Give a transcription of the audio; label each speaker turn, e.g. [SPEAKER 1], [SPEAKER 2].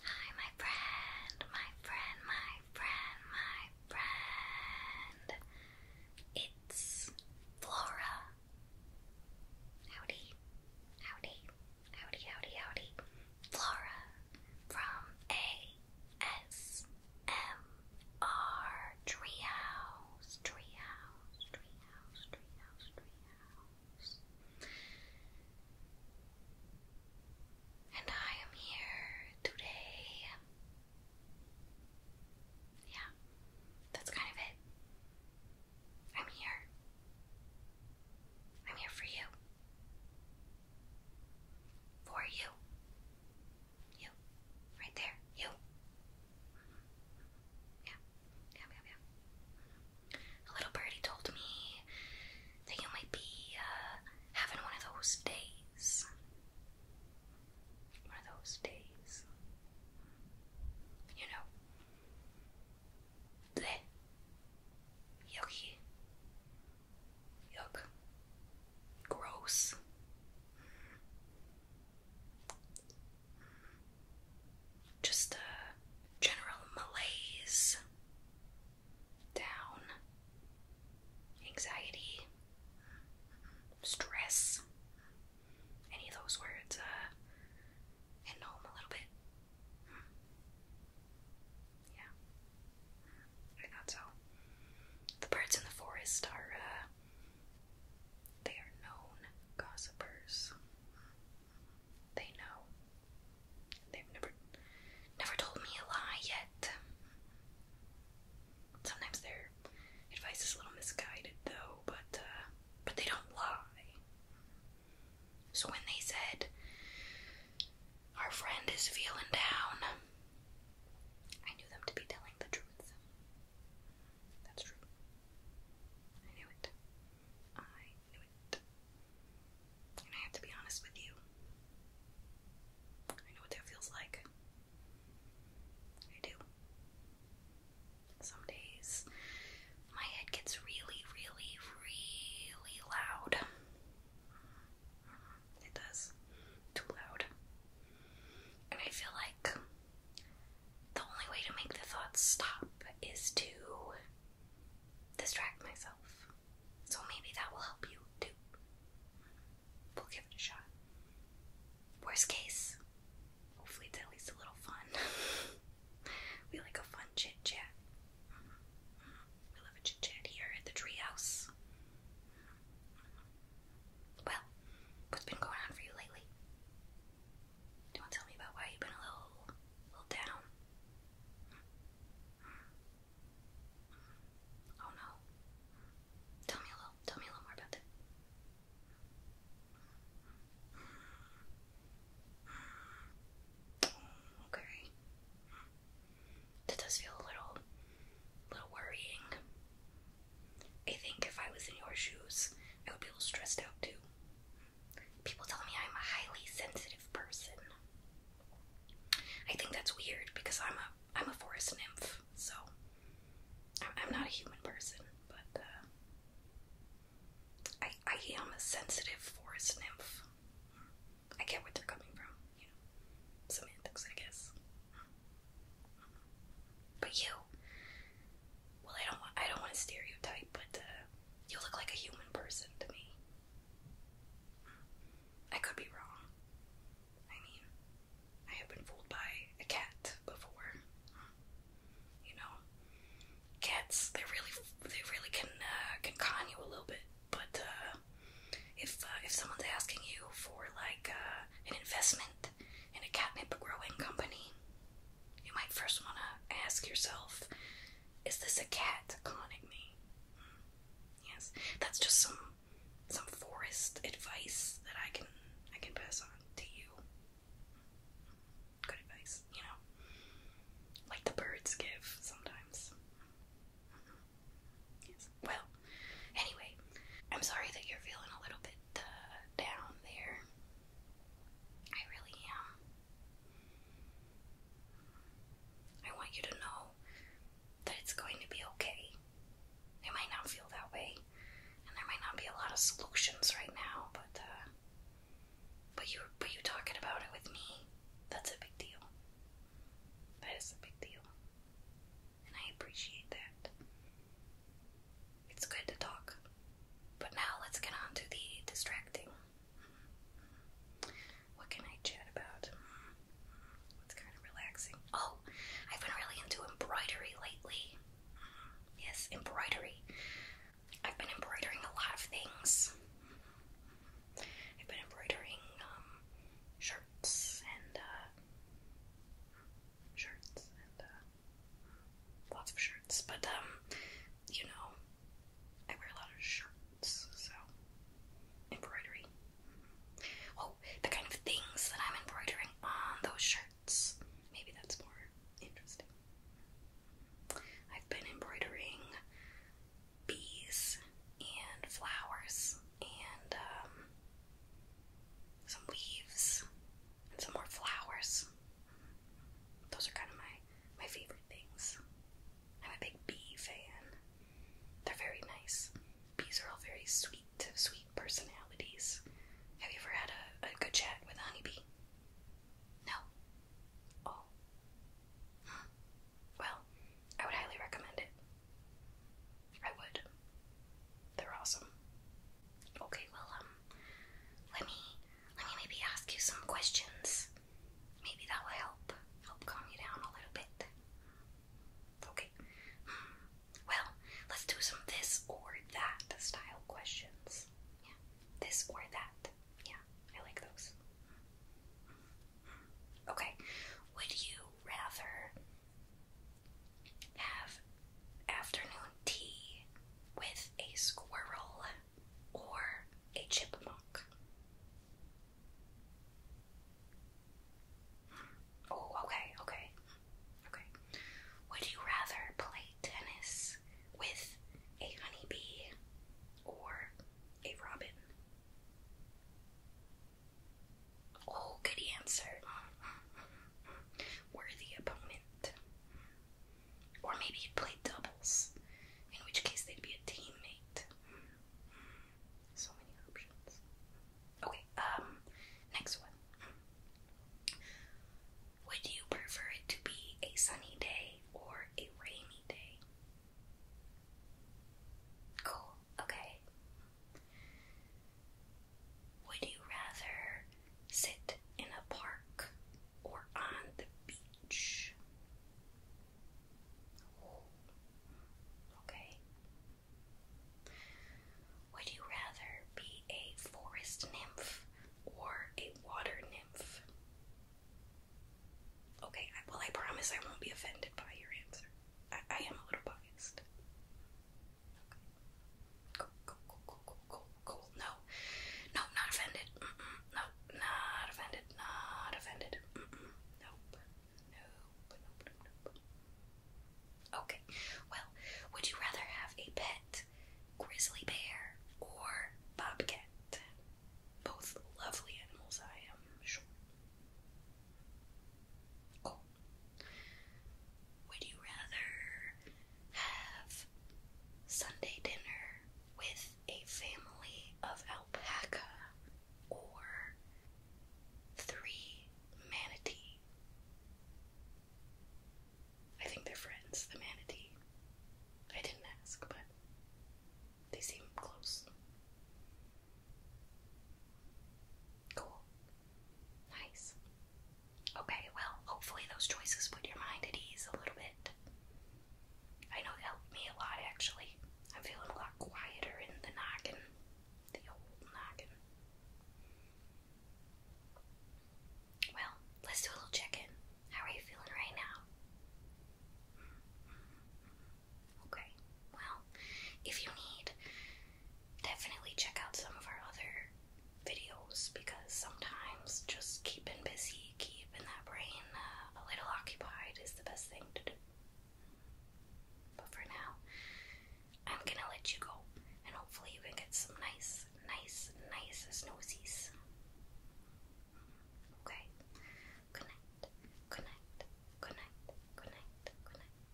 [SPEAKER 1] Hi, my friend, my friend, my friend, my friend. It's Flora. Howdy, howdy, howdy, howdy, howdy. Flora from ASMR Treehouse, Treehouse, Treehouse, Treehouse, Treehouse. And I am here today. Yeah, that's kind of it. I'm here. I'm here for you. For you. You. Right there. You. Yeah. A little birdie told me that you might be uh, having one of those days. One of those days. You know. Bleh. Yucky. Yuck. Gross just a general malaise, down, anxiety, stress, any of those words uh, hitting home a little bit. Yeah, I thought so. The birds in the forest are, uh, they are known gossipers. They know. They've never never told me a lie yet. Sometimes their advice is a little misguided though, but uh, but they don't lie. So when they said our friend is feeling down, I knew them to be telling the truth. That's true. I knew it. I and I have to be honest with you. I know what that feels like. I do. Some days my head gets really, really, really loud. It does. Too loud. And I feel like the only way to make the thoughts stop is to distract myself. So maybe that will help you too. We'll give it a shot. Worst case, hopefully it's at least a little fun. we like a fun chit chat. We love a chit chat here at the treehouse. Well, what's been going on for you lately? Don't tell me about why you've been a little, little down. Oh no. Tell me a little tell me a little more about that. Okay. That does feel a little little worrying. I think if I was in your shoes, I would be a little stressed out too people tell me I'm a highly sensitive person. I think that's weird because I'm a I'm a forest nymph, so I'm, not a human person, but uh, I I am a sensitive forest nymph. I get where they're coming from, you know, semantics, I guess. But you, well, I don't want, I don't want to stereotype, but uh, you look like a human person to me. I could be wrong. I mean, I have been fooled by a cat before. You know, cats they really they really can uh, can con you a little bit, but uh, if if someone's asking you for like an investment in a catnip growing company, you might first want to ask yourself is this a cat calling me? Hmm. Yes, that's just some some forest advice that I can I can pass on to you. Good advice, you know, like the birds give sometimes. Mm-hmm. Yes. Well, anyway, I'm sorry that you're feeling a little bit uh, down there. I really am. I want you to know that it's going to be okay. It might not feel that way, and there might not be a lot of solutions right now, but uh, but you but you talking about it with me, that's a big deal. That is a big deal, and I appreciate that. It's good to talk, but now let's get on to the distracting what can I chat about? It's kind of relaxing. Oh, I've been really into embroidery lately. Yes, embroidery. I've been embroidering a lot of things. I've been embroidering um, shirts and uh, shirts and uh, lots of shirts, but um, you know, I wear a lot of shirts, so embroidery. Mm-hmm. Oh, the kind of things that I'm embroidering on those shirts. Maybe that's more interesting. I've been embroidering bees and flowers and um, some leaves and some more flowers. Those are kind of my my favorite things. I'm a big bee fan. They're very nice. Bees are all very sweet, sweet personalities. Have you ever had a, a good chat with a honeybee? No. Oh. Well, I would highly recommend it. I would. They're awesome. Okay, well, um, let me let me maybe ask you some questions. Maybe that will help. Help calm you down a little bit. Okay. Hmm. Well, let's do some this or that style questions. Yeah. This or that. Yeah, I like those. Hmm. Okay. Would you rather have afternoon tea with a squirrel or a chipmunk? Oh, okay, okay, okay. Would you rather play tennis with a honeybee or a robin? Oh, good answer. Worthy opponent. Or maybe you'd play doubles, in which case they'd be a teammate. So many options. Okay, um, next one. Would you prefer it to be a sunny day or a rainy day? Cool, okay. Would you rather sit in a park or on the beach. Oh, okay. Would you rather be a forest nymph or a water nymph? Okay, well, I promise I won't be offended by your answer. I, am a little biased. Okay. Cool, cool, cool, cool, cool, cool. No, no, not offended. Mm -mm. No, not offended. Not offended. Mm -mm. Nope. Nope. Nope. Nope. Okay. Well, would you rather have a pet grizzly bear or bobcat? Both lovely animals, I am sure. Cool. Would you rather have Sunday dinner with a family of alpaca or three manatee. I think they're friends, the manatee. I didn't ask, but they seem close. Cool. Nice. Okay, well, hopefully those choices put your mind at ease a little bit. I know it helped me a lot actually. I'm feeling a lot quieter in the noggin, the old noggin. Well, let's do a little check in. How are you feeling right now? Okay, well, if you need, definitely check out some of our other videos because sometimes just keeping busy, keeping that brain uh, a little occupied is the best thing to do. But for now, I'm gonna let you go and hopefully you can get some nice, nice, nice snowsies. Okay? Good night. Good night. Good night. Good night. Good night.